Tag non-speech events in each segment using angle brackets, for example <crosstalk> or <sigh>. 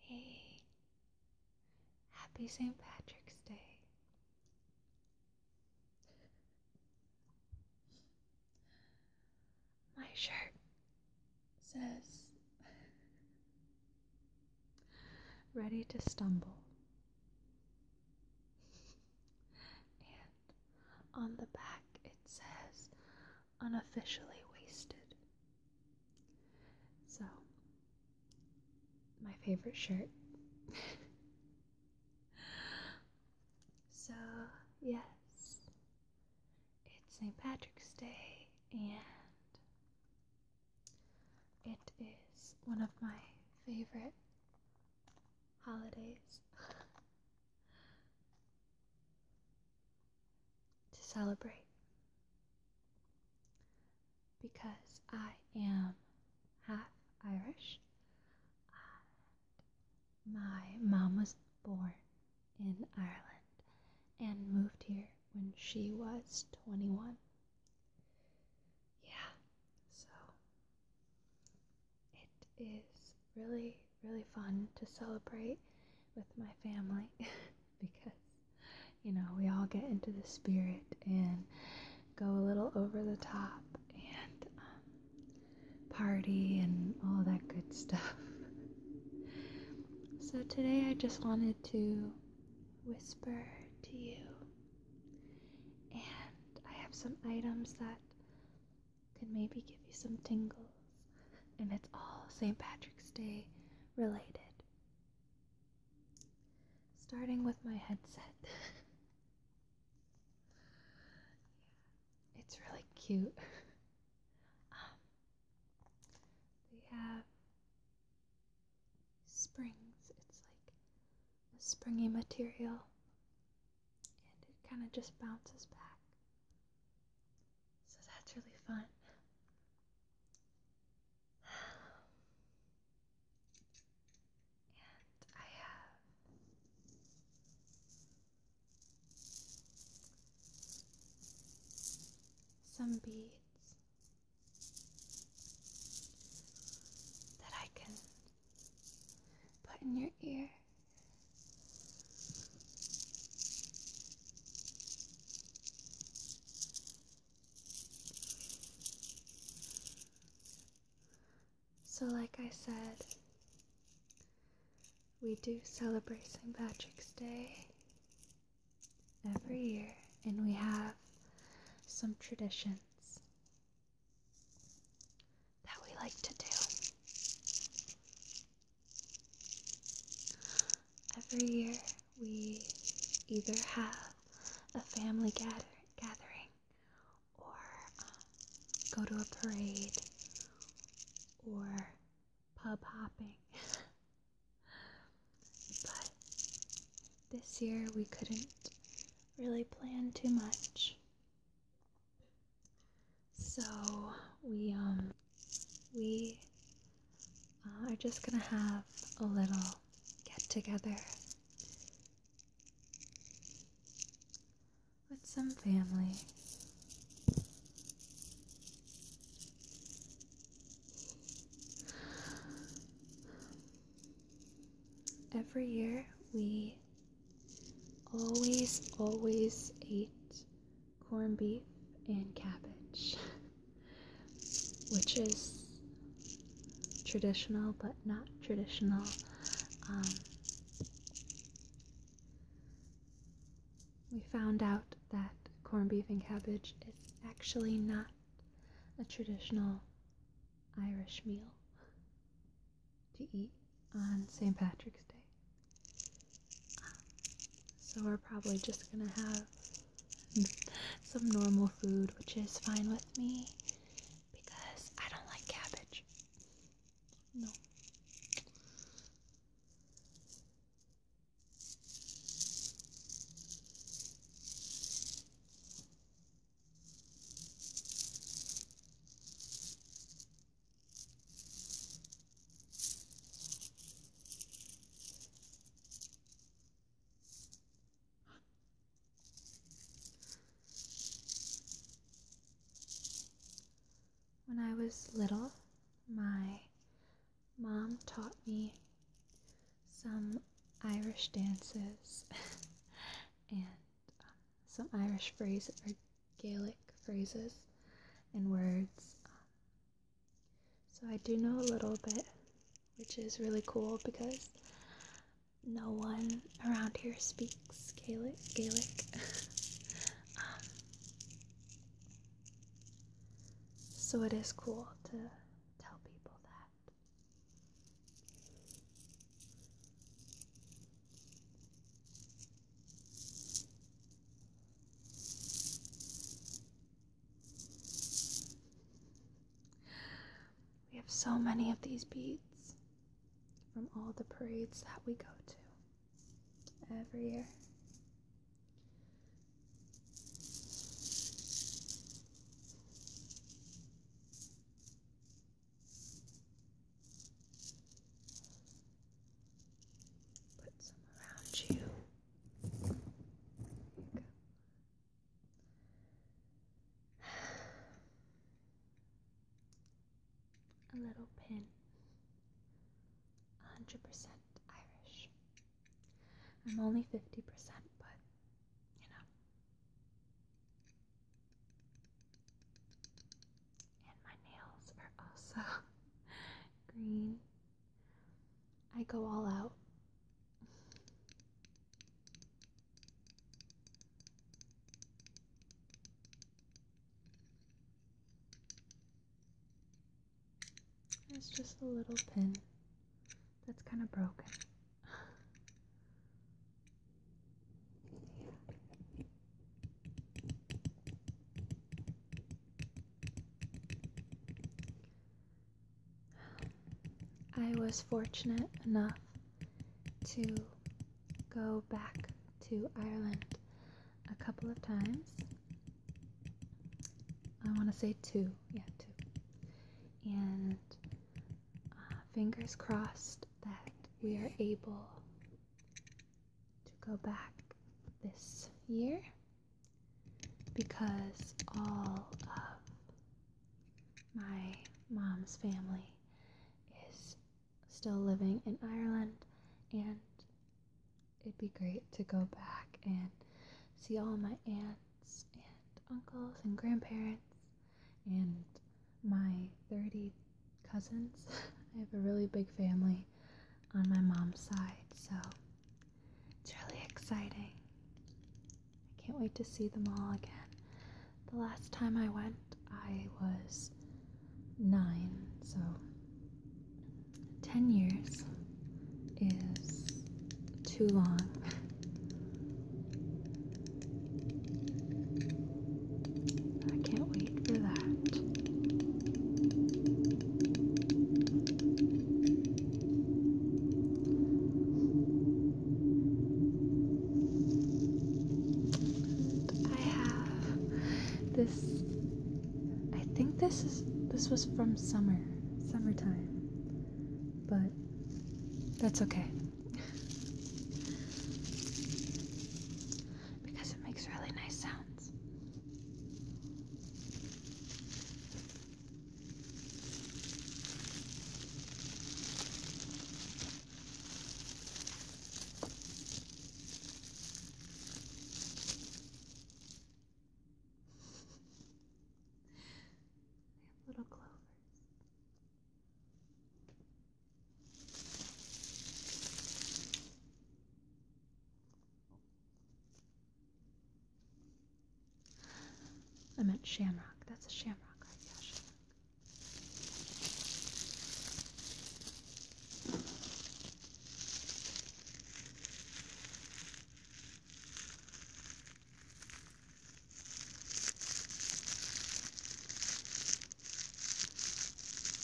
Hey, happy St. Patrick's Day. My shirt says, Ready to stumble and on the back it says unofficially wasted. So, my favorite shirt. <laughs> so, yes, it's St. Patrick's Day, and it is one of my favorite holidays to celebrate because I am half Irish my mom was born in Ireland and moved here when she was 21. Yeah, so it is really, really fun to celebrate with my family <laughs> because, you know, we all get into the spirit and go a little over the top and um, party and all that good stuff. <laughs> so today I just wanted to whisper to you and I have some items that can maybe give you some tingles. And it's all St. Patrick's Day related. Starting with my headset. <laughs> it's really cute. <laughs> Um, they have springs. It's like a springy material and it kind of just bounces back. So that's really fun. And I have some beads that I can Put in your ear. So, like I said, we do celebrate St. Patrick's Day every year, and we have some traditions that we like to do. Every year, we either have a family gather gathering or um, go to a parade or pub hopping. <laughs> but this year we couldn't really plan too much. So we um, we uh, are just gonna have a little get together with some family. Every year we Always, always ate corned beef and cabbage, <laughs> which is traditional but not traditional. Um, we found out that corned beef and cabbage is actually not a traditional Irish meal to eat on St. Patrick's Day. So we're probably just gonna have some normal food, which is fine with me because I don't like cabbage. No. When I was little, my mom taught me some Irish dances <laughs> and some Irish phrases or Gaelic phrases and words. so I do know a little bit, which is really cool because no one around here speaks Gaelic. Gaelic. <laughs> Um, so it is cool to tell people that. We have so many of these beads from all the parades that we go to every year. Put some around you. you A little pin. 100% Irish. I'm only 50%, but you know. And my nails are also <laughs> green. I go all out. It's just a little pin that's kind of broken. I was fortunate enough to go back to Ireland a couple of times. I want to say two, yeah, two. And uh, fingers crossed that we are able to go back this year because all of my mom's family is still living in Ireland and it'd be great to go back and see all my aunts and uncles and grandparents and my 30 cousins. <laughs> I have a really big family on my mom's side, so it's really exciting. I can't wait to see them all again. The last time I went, I was nine, so 10 years is too long. <laughs> I can't wait for that. I have this. I think this is this was from summer, summertime, but that's okay because it makes really nice sounds. they <laughs> have little clovers. I meant shamrock. That's a shamrock, right? Yeah, shamrock.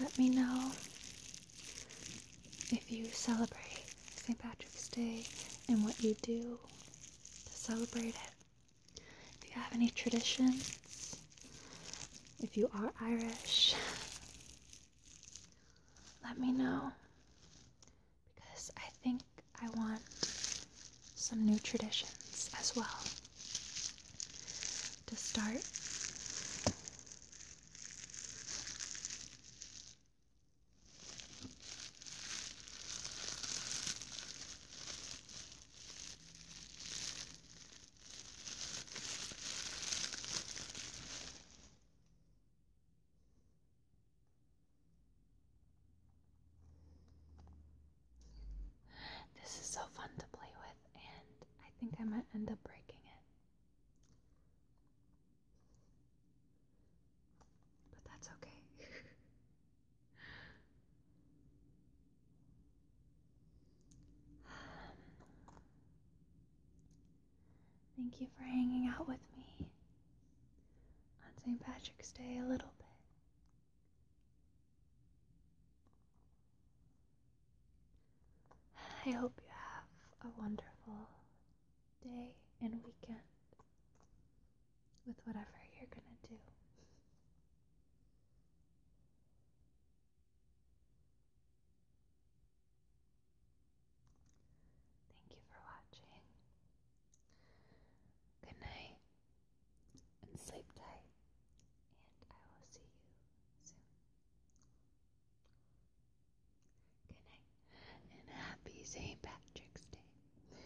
Let me know if you celebrate St. Patrick's Day and what you do to celebrate it. If you have any traditions, if you are Irish, let me know because I think I want some new traditions as well to start. This is so fun to play with, and I think I might end up breaking it. But that's okay. <laughs> Um, thank you for hanging out with me on St. Patrick's Day a little bit. I hope you have a wonderful day and weekend with whatever you're going to do. Thank you for watching. Good night and sleep tight, and I will see you soon. Good night and happy St. Patrick's Day.